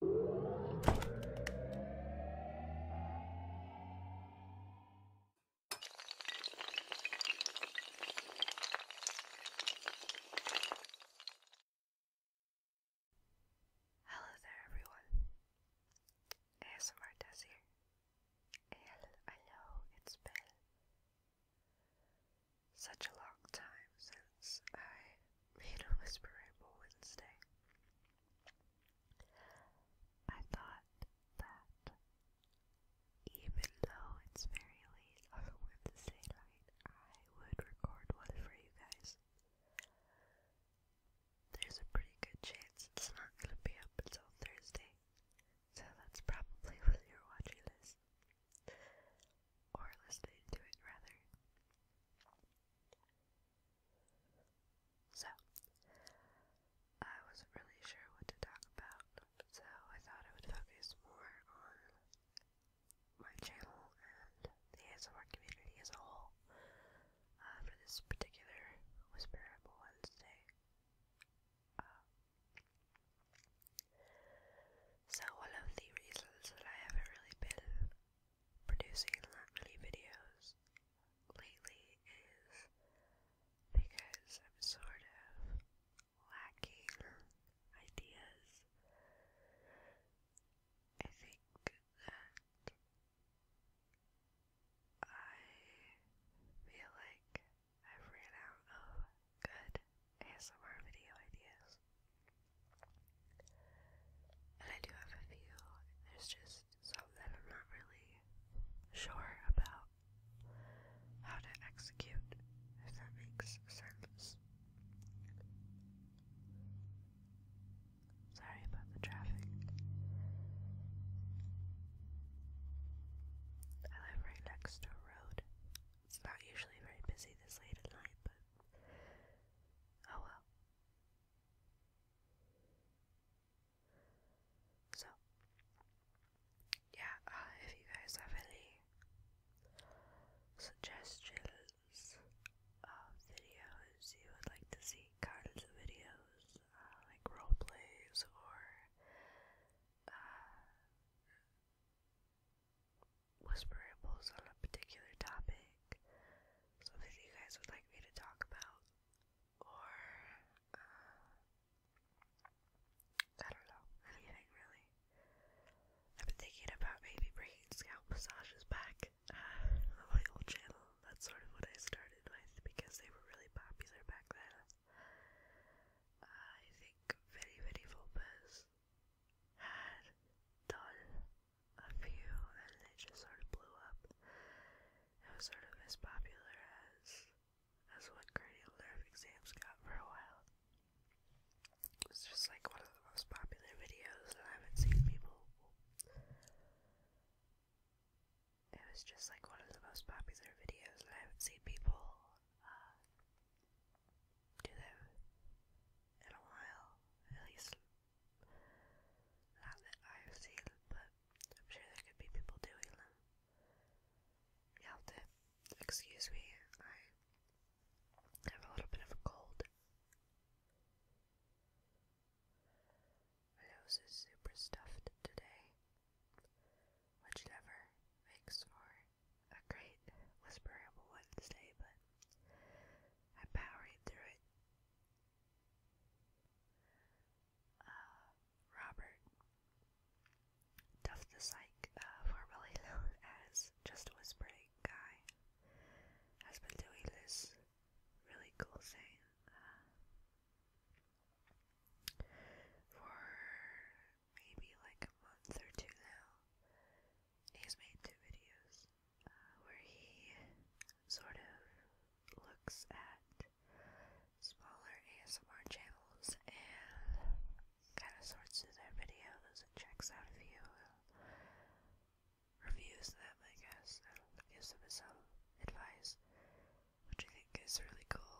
Hello there, everyone. ASMR here, and I know it's been such a long time since I read a Whisper Wednesday. I thought that even though it's very late on a Wednesday night, I would record one for you guys. There's a pretty good chance it's not going to be up until Thursday, so that's probably when your are watching this. Or listening to it, rather. So, I wasn't really sure what to talk about, so I thought I would focus more on my channel and the ASMR community as a whole uh, for this particular Whisperable Wednesday. Uh, so, one of the reasons that I haven't really been producing that many videos lately is because I'm sort of lacking ideas. I think that I feel like I've ran out of good ASMR video ideas. And I do have a few, there's just some that I'm not really sure about how to execute, if that makes sense. Sorry about the traffic. I live right next to a road. It's not usually very busy this late at night, but Oh well. So, yeah, uh, if you guys have any suggestions of videos you would like to see kinds of videos, uh, like role plays or uh, whisperables on a particular topic, something you guys would like me to talk about, or uh, I don't know, anything really. I've been thinking about maybe bringing scalp massages back uh, my old channel. That's sort of what I started with because they were really popular back then. I think Vinny Vinny Vulpes had done a few and they just sort of blew up. It was sort of as popular as as what cranial nerve exams got for a while. It was just like one of the most popular videos and I haven't seen people it was just like one of the most popular videos and I haven't seen people uh, do them in a while, at least not that I've seen, but I'm sure there could be people doing them. You'll to excuse me, I have a little bit of a cold. My nose is super stuffed today, which makes for a great whisperable Wednesday, but I powered through it. Uh, Robert Duff the Psych, uh, formerly known as Just Whispering Guy, has been doing this really cool thing uh, for maybe like a month or two now. He's made two videos uh, where he sort of looks at smaller ASMR channels and kind of sorts through their videos and checks out a few and uh, reviews them, I guess, and gives them some advice, which I think is really cool.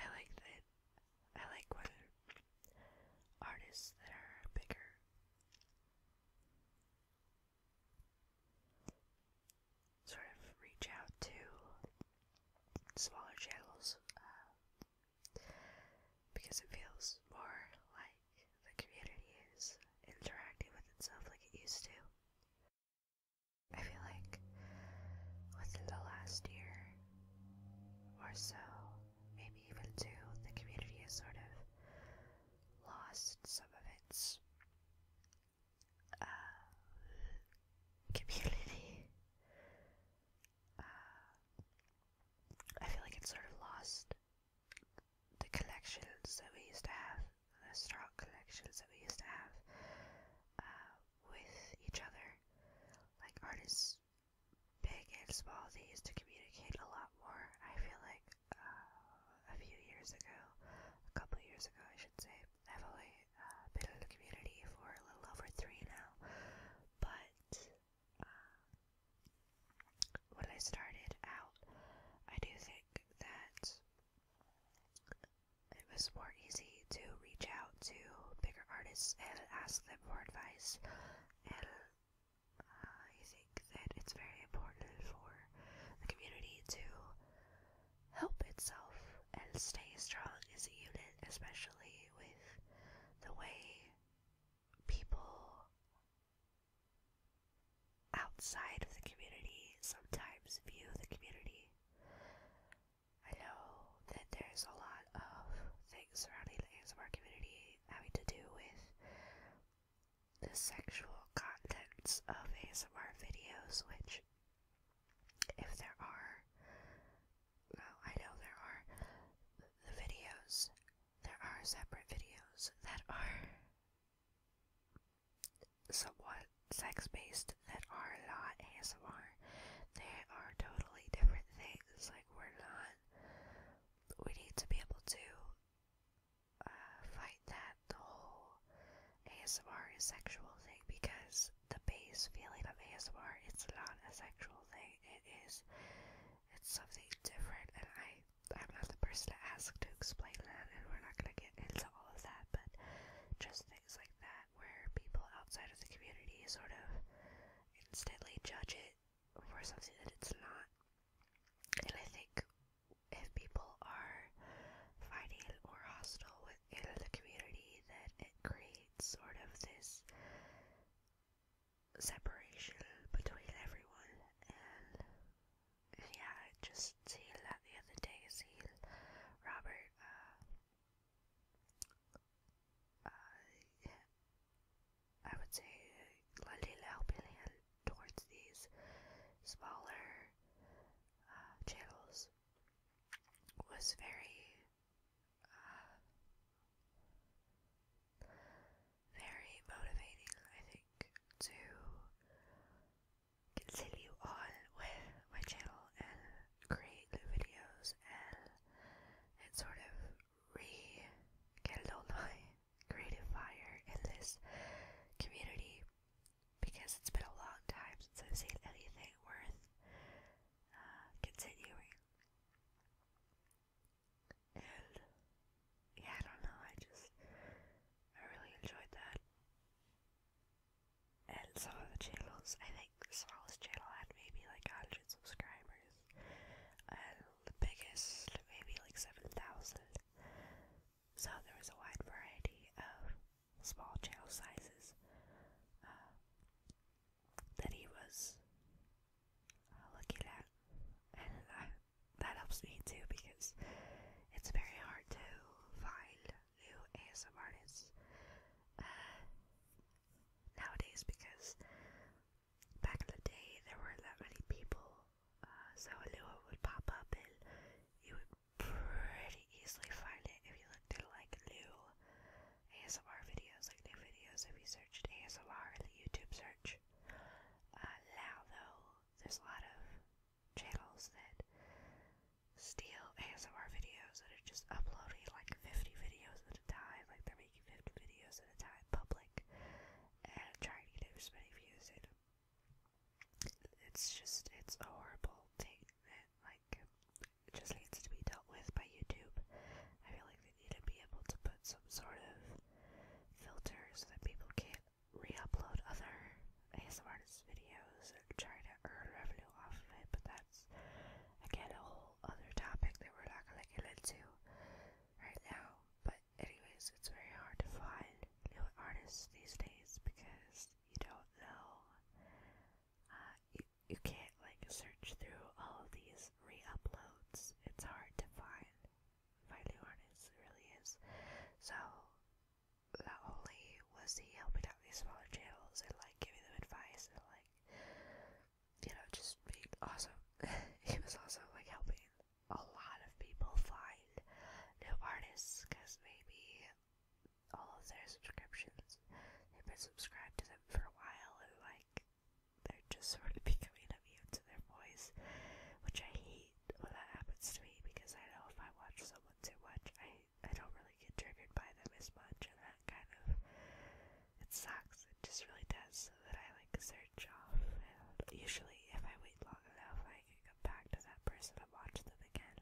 I like that. I like when artists that are bigger. Sort of reach out to smaller channels uh, because it feels more like the community is interacting with itself like it used to. I feel like within the last year, or so, maybe even two. The community has sort of lost some of its uh, community. Uh, I feel like it's sort of lost the connections that we used to have, the strong connections that we used to have. Uh, with each other. Like artists, big and small, they used to communicate a lot more. I feel like uh, a few years ago, a couple years ago, I should say, I've only uh, been in the community for a little over three now, but uh, when I started out, I do think that it was more easy to reach out to bigger artists and ask them for advice. And uh, I think that it's very important for the community to help itself and stay strong as a unit, especially with the way people outside of the community sometimes view the community. I know that there's a lot of things surrounding the ASMR community having to do with the sexual contents of ASMR videos, which, if there are, no, I know there are the videos, there are separate videos that are somewhat sex-based that are not ASMR. They are totally different things. Like we're not. We need to be able to uh, fight that the whole ASMR is sexual thing because the base feeling of ASMR it's not a sexual thing. It is. It's something different, and I I'm not the person to ask to explain that, and we're not gonna get into all of that, but just things like that that where people outside of the community sort of instantly judge it for something that it's not. And I think if people are fighting or hostile within the community, that it creates sort of this separation between everyone. And, and yeah, I just seen that the other day, seen Robert uh, I would say Lalila helping hand towards these smaller uh, channels was very, uh, very motivating, I think, to continue on with my channel and create new videos and and sort of rekindle my creative fire in this community because it's been a long time since I've seen anything worth uh, continuing. And yeah, I don't know, I just I really enjoyed that and some of the channels, I think the smallest channel had maybe like 100 subscribers, and the biggest maybe like 7,000. So there was a wide variety of small channel sizes uh, that he was uh, looking at, and I, uh, that helps me too because it's very hard to find new ASM artists uh, nowadays because back in the day there weren't that many people, uh, so a new one would pop up and you would pretty easily find it if you looked at like new ASMR videos, like new videos if you searched ASMR in the YouTube search. Uh, now though, there's a lot of channels that steal ASMR videos that are just uploading like 50 videos at a time, like they're making 50 videos at a time public and trying to get as many views in. It's just, it's a horrible thing that, like, it just needs to be dealt with by YouTube. I feel like they need to be able to put some sort of filters that people can't re-upload other ASM artists' videos and try to earn revenue off of it, but that's again a whole other topic that we're not gonna get into right now. But anyways, it's very hard to find new artists these days because you don't know. Uh, you you can't like search through all of these re-uploads. It's hard to find find new artists. really is. So not only was he helping out these smaller channels and like giving them advice and like you know just being awesome, he was also like helping a lot of people find new artists because maybe all of their subscriptions they've been subscribed to them for a while and like they're just sort of becoming immune to their voice, which I hate hate when that happens to me because I know if I watch someone too much, I I don't really get triggered by them as much, and that kind of it sucks. It just really does. So that I like search off. And usually, if I wait long enough, I can come back to that person and watch them again,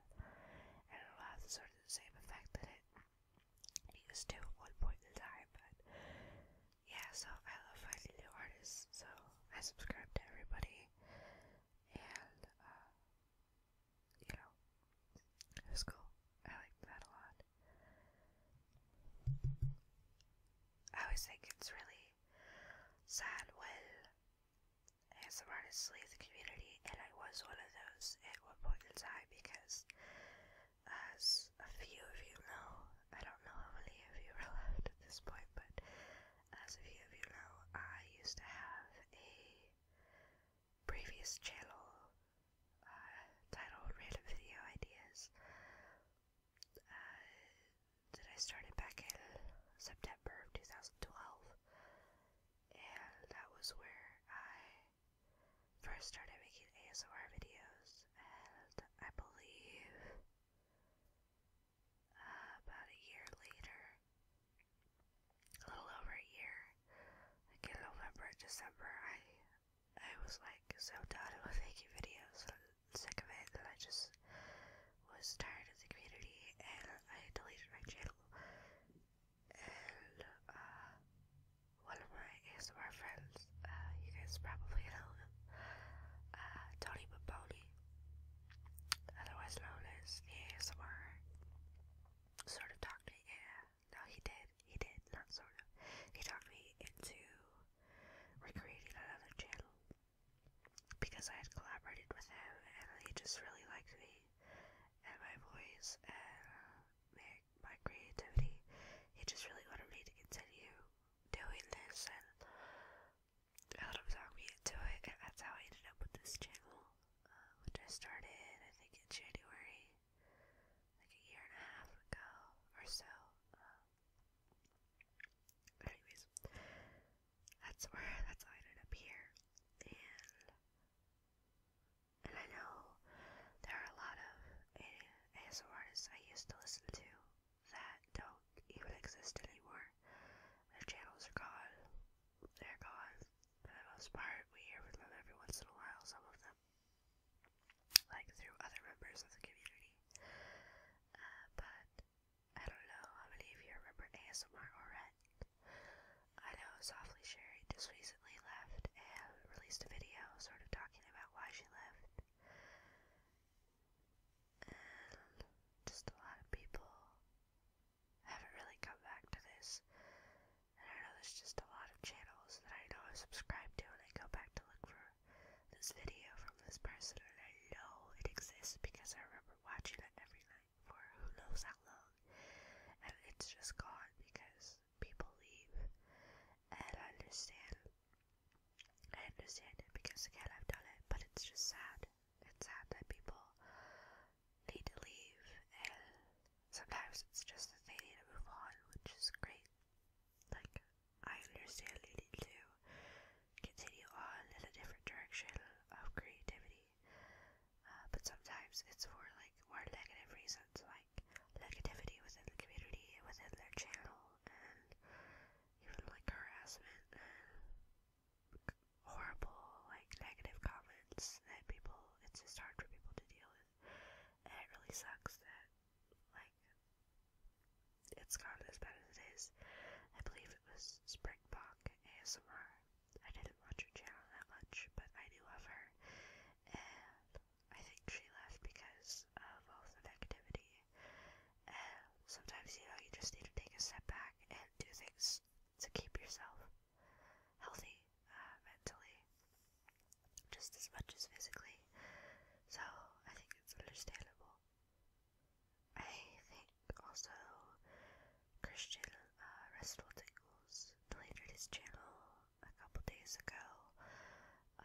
and it'll have sort of the same effect that it used to at one point in time. But yeah, so I love finding new artists. So I subscribe to everybody and uh, you know, it was cool. I liked that a lot. I always think it's really sad when ASMR just leaves the community, and I was one of those at one point in time because, as a few of you know, I don't know how many of you are left at this point, but as a few of you know, I used to have a previous channel uh, titled Random Video Ideas uh, that I started back in September of 2012, and that was where I first started making ASMR videos, and I believe uh, about a year later, a little over a year, like in November, December, I I was like so done with making videos, i sick of it, and I just was tired of the community, and I deleted my channel. And uh, one of my ASMR friends, uh, you guys probably know him, uh, Tony Baboni, otherwise known as ASMR, sort of talked me, yeah, no, he did, he did, not sort of, he talked me into recreating another channel because I had collaborated with him and he just really liked me and my voice and uh, my, my creativity. He just really wanted me to continue doing this and a lot of zombie into it, that's how I ended up with this channel, uh, which I started, I think, in January, like a year and a half ago or so. Um, anyways, that's where, that's how I ended up here, and, and I know there are a lot of ASO artists I used to listen to, that don't even exist anymore. Their channels are gone. They're gone. For the most part, we hear from them every once in a while, some of them. Like through other members of the community. Uh, but I don't know how many you remember ASMR Oret. I know Softly Sherry just recently left and released a video sort of talking about why she left and just a lot of people haven't really come back to this. And I know there's just a lot of channels that I know I subscribe to, and I go back to look for this video from this person, and I know it exists because I remember watching it every night for who knows how long, and it's just gone because people leave. And I understand I understand it because again I've done it, but it's just sad. It's sad that people need to leave, and sometimes it's just that they need to move on, which is great. Like, I understand you need to continue on in a different direction of creativity, uh, but sometimes it's for like more negative reasons, like negativity within the community, within their channel, and even like harassment horrible, like negative comments that people, it's just hard for people to deal with. And it really sucks that, like, it's gone as bad as it is. I believe it was Springbok ASMR. I didn't watch her channel that much, but I knew of her. I think she left because of all the And sometimes, you know, you just need to take a step back and do things to keep yourself healthy uh, mentally, just as much as physically. So I think it's understandable. I think also Christian uh, Wrestle Tingles deleted his channel a couple days ago uh,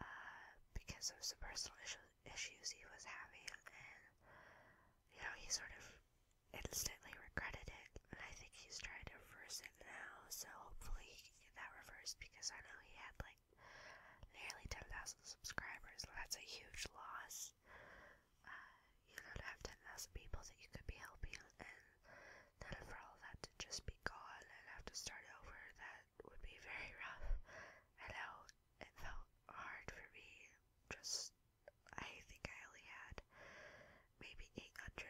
because of some personal issues, issues he was having, and you know he sort of instantly regretted it. And I think he's trying to reverse it now, so hopefully he can get that reversed because I know he had like nearly ten thousand subscribers, and that's a huge loss. Uh, you know, to have ten thousand people that you could be helping, and then for all that to just be gone and have to start over, that would be very rough. And now it felt hard for me. Just, I think I only had maybe 800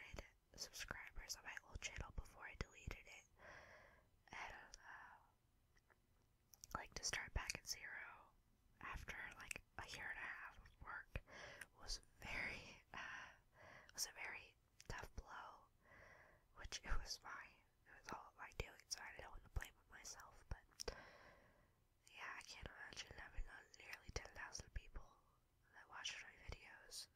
subscribers on my old channel before I deleted it. And, uh, like to start back at zero after like a year and a half of work was very, uh, was a very tough blow, which it was fine. That's all I do, so I don't want to blame myself, but yeah, I can't imagine having nearly 10,000 people that watch my videos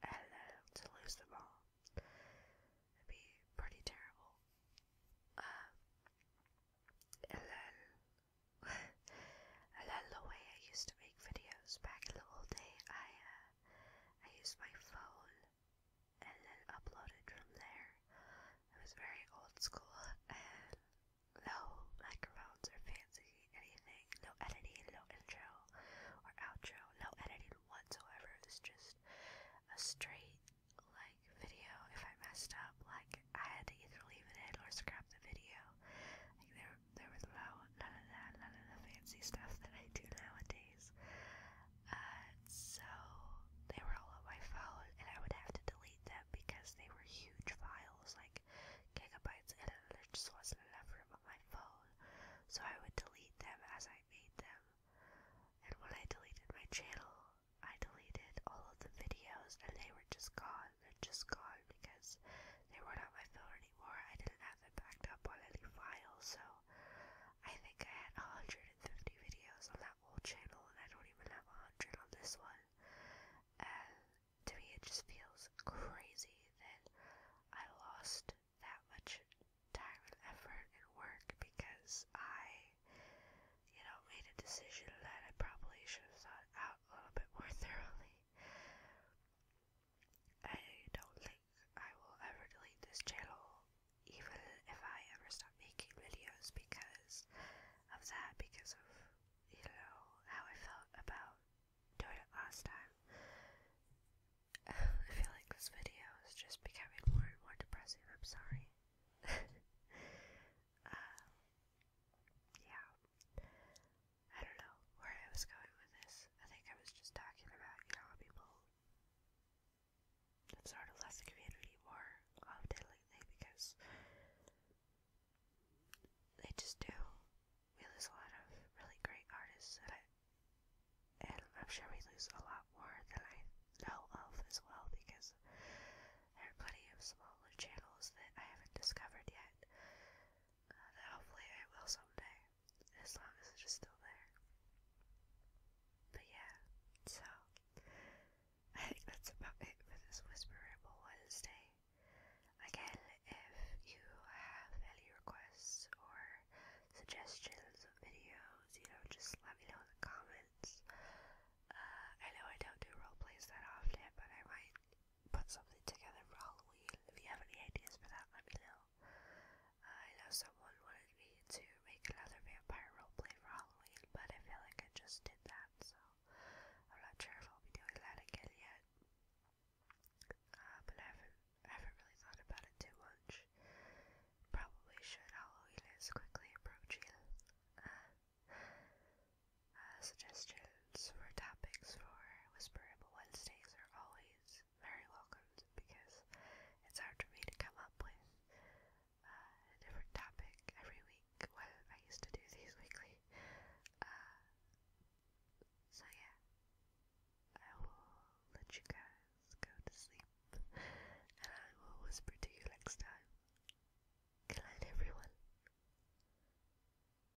and uh, to lose them all. It'd be pretty terrible. Um, and then, and then the way I used to make videos back in the old day, I, uh, I used my phone and then uploaded from there. It was very old school, and no microphones or fancy anything, no editing, no intro or outro, no editing whatsoever. It was just a straight like video. If I messed up, like I had to either leave it in or scrap the video. there, there was no none of that, none of the fancy stuff that I do nowadays. Uh, so they were all on my phone, and I would have to delete them because they were huge files, like gigabytes, and there just wasn't enough room on my phone. So I would delete them as I made them. And when I deleted my channel, I deleted all of the videos, and they were just gone. They're just gone because they weren't on my phone anymore. I didn't have it backed up on any file, so I think I had 150 videos on that old channel, and I don't even have 100 on this one. And to me, it just feels crazy that I lost that much time and effort and work because I, you know, made a decision that I probably should have thought out a little bit more thoroughly. I don't think I will ever delete this channel, even if I ever stop making videos because of that, because of, you know, how I felt about doing it last time. I feel like this video is just becoming more and more depressing, I'm sorry. Um, yeah. I don't know where I was going with this. I think I was just talking about, you know, how people have sort of left the community more often lately because they just do. We lose a lot of really great artists, and, I, am sure we lose a lot more than I know of as well because there are plenty of smaller channels that I haven't discovered yet. Uh, that hopefully I will someday as long as it is still there. But yeah, so I think that's about it for this whisperable Ramble Wednesday. Again, if you have any requests or suggestions of videos, you know, just let me know in the comments. Uh, I know I don't do role that often, but I might put something together for Halloween. If you have any ideas for that, let me know. Uh, I know someone wanted me to make another vampire roleplay for Halloween, but I feel like I just did that, so I'm not sure if I'll be doing that again yet. Uh, but I haven't, I haven't really thought about it too much. Probably should. Halloween is quickly approaching. Uh, uh, suggestion suggestions for topics for Whisperable Wednesdays are always very welcomed because it's hard for me to come up with uh, a different topic every week when I used to do these weekly. Uh, so yeah, I will let you guys go to sleep and I will whisper to you next time. Good night, everyone.